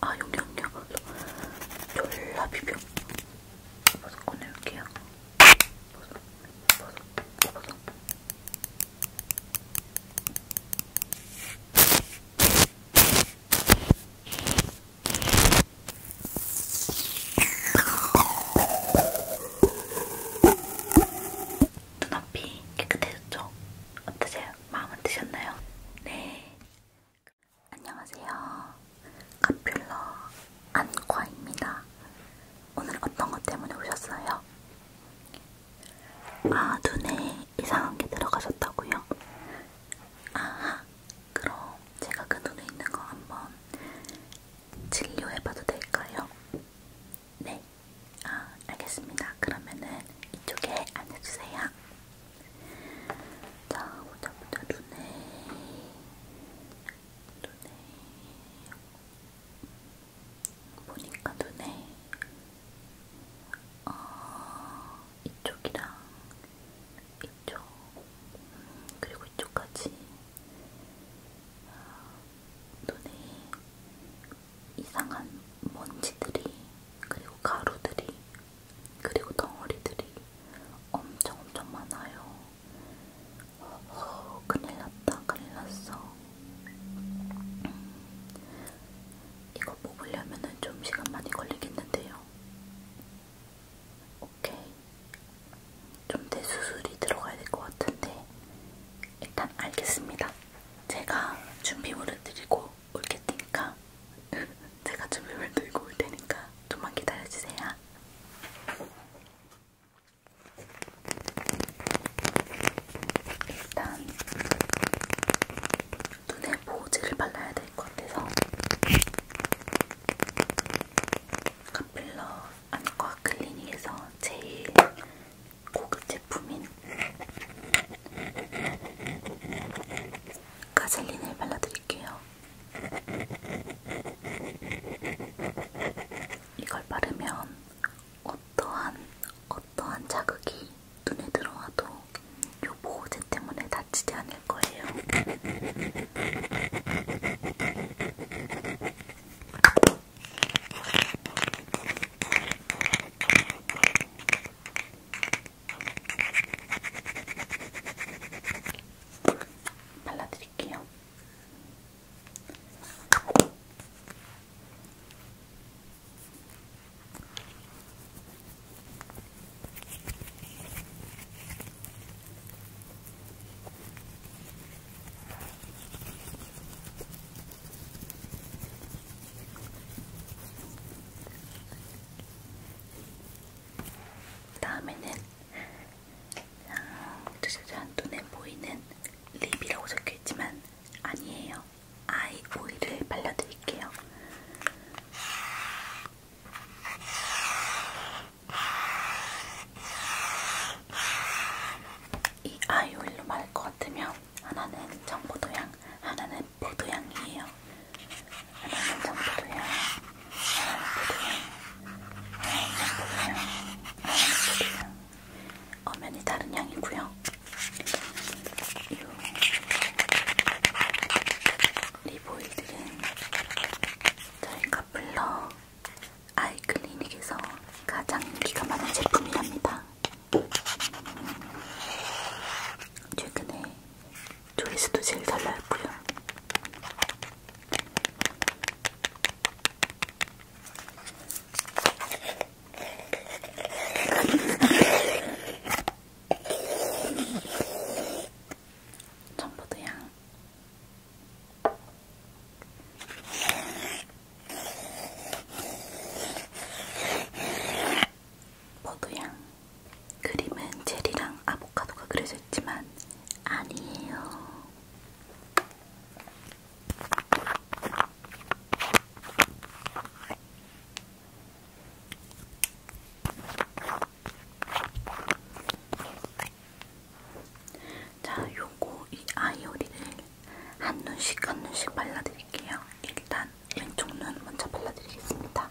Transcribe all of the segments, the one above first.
아 여기 여기 여기 졸라 비벼. 이거 꺼내올게요. 눈앞이 깨끗해졌죠? 어떠세요? 마음은 드셨나요? 네. 안녕하세요. 카필러 안과입니다. 오늘 어떤 것 때문에 오셨어요? 아, 눈에 이상한 게 들어가셨다고요? 아하, 그럼 제가 그 눈에 있는 거 한번 진료해봐도 될까요? 네, 아, 알겠습니다. 그러면은 이쪽에 앉아주세요. 자, 보자, 보자, 눈에. 눈에 보니까 눈에 어, 이쪽이랑 이쪽 그리고 이쪽까지 눈에 이상한 먼지들이 그리고 가루들이 그리고 덩어리들이 엄청 엄청 많아요. 어, 큰일 났다, 큰일 났어. 이거 뽑으려면은 좀 시간 많이 걸리겠는데요. 오케이. 좀 대수술이 들어가야 될 것 같은데, 일단 알겠습니다. 제가 준비물을 드리고 올 테니까, 제가 준비물 들고 올 테니까 좀만 기다려주세요. 있습니다. 일단 눈에 보호제를 발라야 될 것 같아서 카필러 안과 클리닉에서 제일 고급 제품인 가젤린을 발라드릴게요. 이걸 바르면 어떠한 어떠한 자극이 눈에 들어와도 요 보호제 때문에 다치지 않을 거예요. 발라드릴게요. 다음에는 짜자잔 눈에 보이는 립이라고 적혀있지만 아니에요. 아이 오일을 발라드릴게요. 이 아이 오일로 말할 것 같으면 하나는 청포도향, 하나는 포도향이에요. 하나는 장부도야, 하나는 부도야, 하나는 부도야, 엄연히 다른 향이고요. 리보일들은 저희 카플러 아이클리닉에서 가장 인기가 많은 제품이랍니다. 최근에 조이스도 제일 잘 나왔고요. 청포도 향. 포도향 그림은 체리랑 아보카도가 그려져 있지만 아니에요. 자, 요거 이 아이오리를 한 눈씩 한 눈씩 발라드릴게요. 일단 왼쪽 눈 먼저 발라드리겠습니다.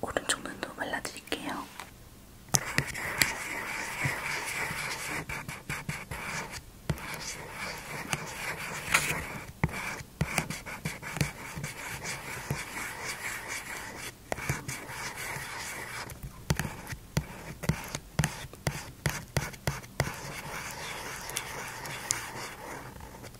오른쪽 눈도 발라드릴게요.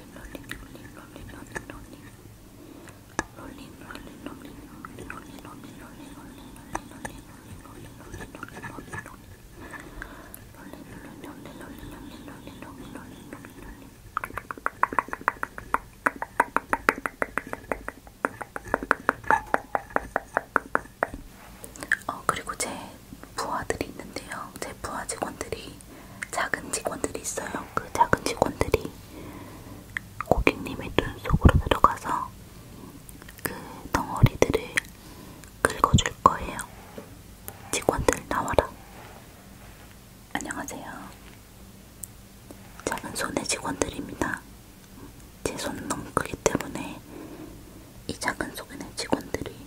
어 그리고 제 부하들이 있는데요. 제 부하 직원들이 작은 직원들이 있어요. 그 작은 직원들이 고객님의 눈 속으로 들어가서 그 덩어리들을 긁어줄 거예요. 직원들 나와라. 안녕하세요. 작은 손의 직원들입니다. 제 손은 너무 크기 때문에 이 작은 손의 직원들이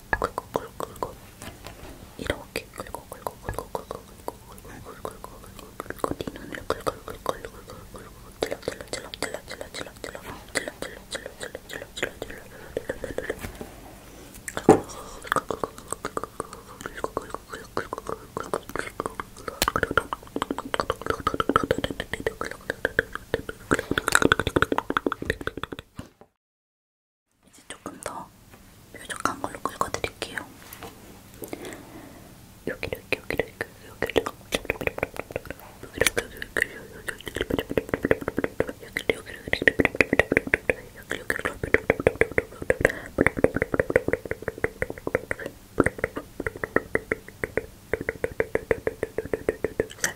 긁고 긁고 긁고 이렇게 긁고 긁고 긁고 긁고 긁고 긁고 긁고 긁고 네 눈을 긁고 긁고 긁고 긁고 질러 질러 질러 질러 질러 질러 질러 질러 질러 질러 질러 질러 질러 질러 이제 조금 더 뾰족한 걸로 긁어드릴게요. 여기를 여기를 여기를 자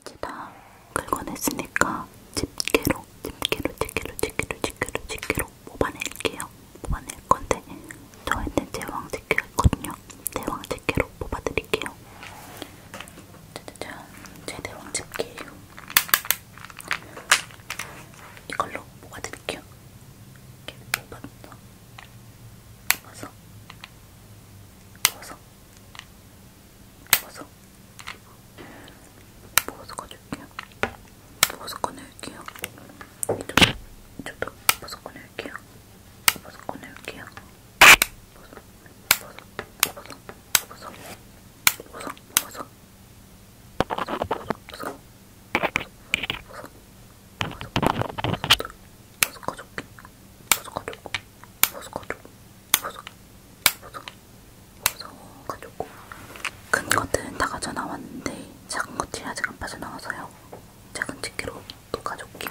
이제 다 긁어냈으니까 집게로 집게로 집게로 집게로 집게로 집게로 뽑아낼게요. 뽑아낼 건데 저한테 제왕 집게가 있거든요. 제왕 집게로 뽑아드릴게요. 짜자잔 제 대왕 집게예요. 이걸로 뽑아드릴게요. 이렇게 뽑아서, 뽑아서, 뽑아서, 뽑아서, 뽑아서 꺼줄게요. 뽑아서 꺼낼게요. 이쪽도, 이쪽도 뽑아서 꺼낼게요. 뽑아서 꺼낼게요. 뽑아서, 뽑아서, 뽑아서, 뽑아서, 뽑아서, 뽑아서. 큰 것들은 다 가져나왔는데 작은 것들이 아직 안 빠져나와서요. 작은 집게로 또 가져올게요.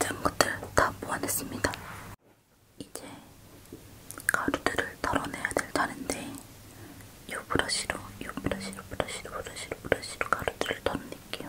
이제 것들 다 보완했습니다. 이제 가루들을 털어내야 될다는데 요 브러쉬로, 요 브러쉬로, 브러쉬로, 브러쉬로, 브러쉬로 가루들을 털어낼게요.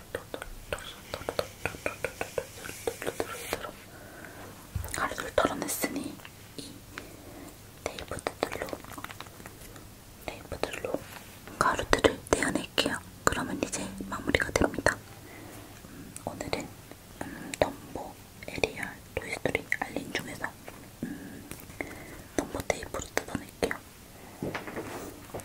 가루를 털어냈으니 이 테이프들로 테이프들로 가루들을 떼어낼게요. 그러면 이제 마무리가 됩니다. 음, 오늘은 음, 덤보 에리얼 토이스토리 알린 중에서 음, 덤보 테이프로 뜯어낼게요.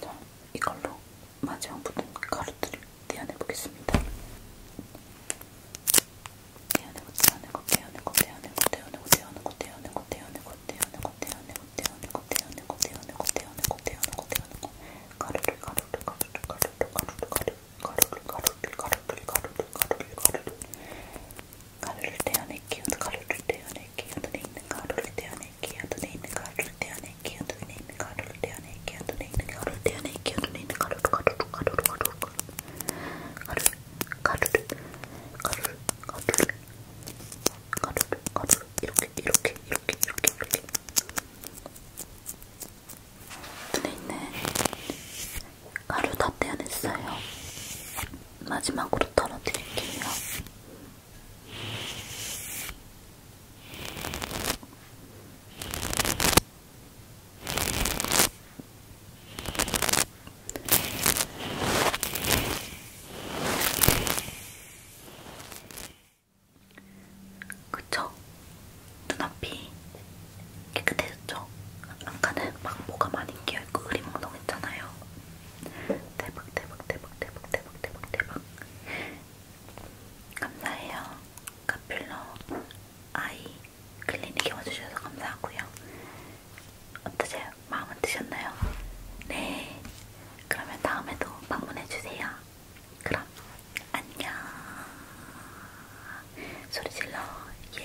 자, 이걸로 마지막 붙은 가루들을 떼어내보겠습니다. 떼어내고, 떼어내고, 떼어내고, 떼어내고, 떼어내고, 떼어내고, 떼어내고, 떼어내고, 떼어내고, 떼어내고, 떼어내고, 떼어내고, 떼어내고, 떼어내고, 떼어내고, 떼어내고, 가루를, 가루를, 가루를, 가루를, 가루를, 가루를, 가루를, 가루를, 가루를, 가루를, 가루를, 가루를, 가루를 떼어낼게요. 가루를 떼어낼게요. 눈에 있는 가루를 떼어낼게요. 떼어낼게요. 눈에 있는 가루를 떼어낼게요. 눈에 있는 가루를 떼어낼게요. 눈에 있는 가루를 떼어낼게요. 눈에 있는 가루를 가루를 가루를 가루를 가루를 가루를 가루를 가루를 가루를 가루를 이렇게 이렇게 이렇게 이렇게 이렇게 눈에 있는 가루 다 떼어냈어요. 마지막으로 털어드릴게요. 그쵸? 눈앞이 깨끗해졌죠? 아까는 막 뭐가 많이 끼어있고 흐리멍덩했잖아요. 대박 대박 대박 대박 대박 대박 대박 감사해요 카필러 아이 클리닉에 와주셔서 감사하고요 어떠세요? 마음은 드셨나요? 네 그러면 다음에도 방문해주세요 그럼 안녕 소리질러 예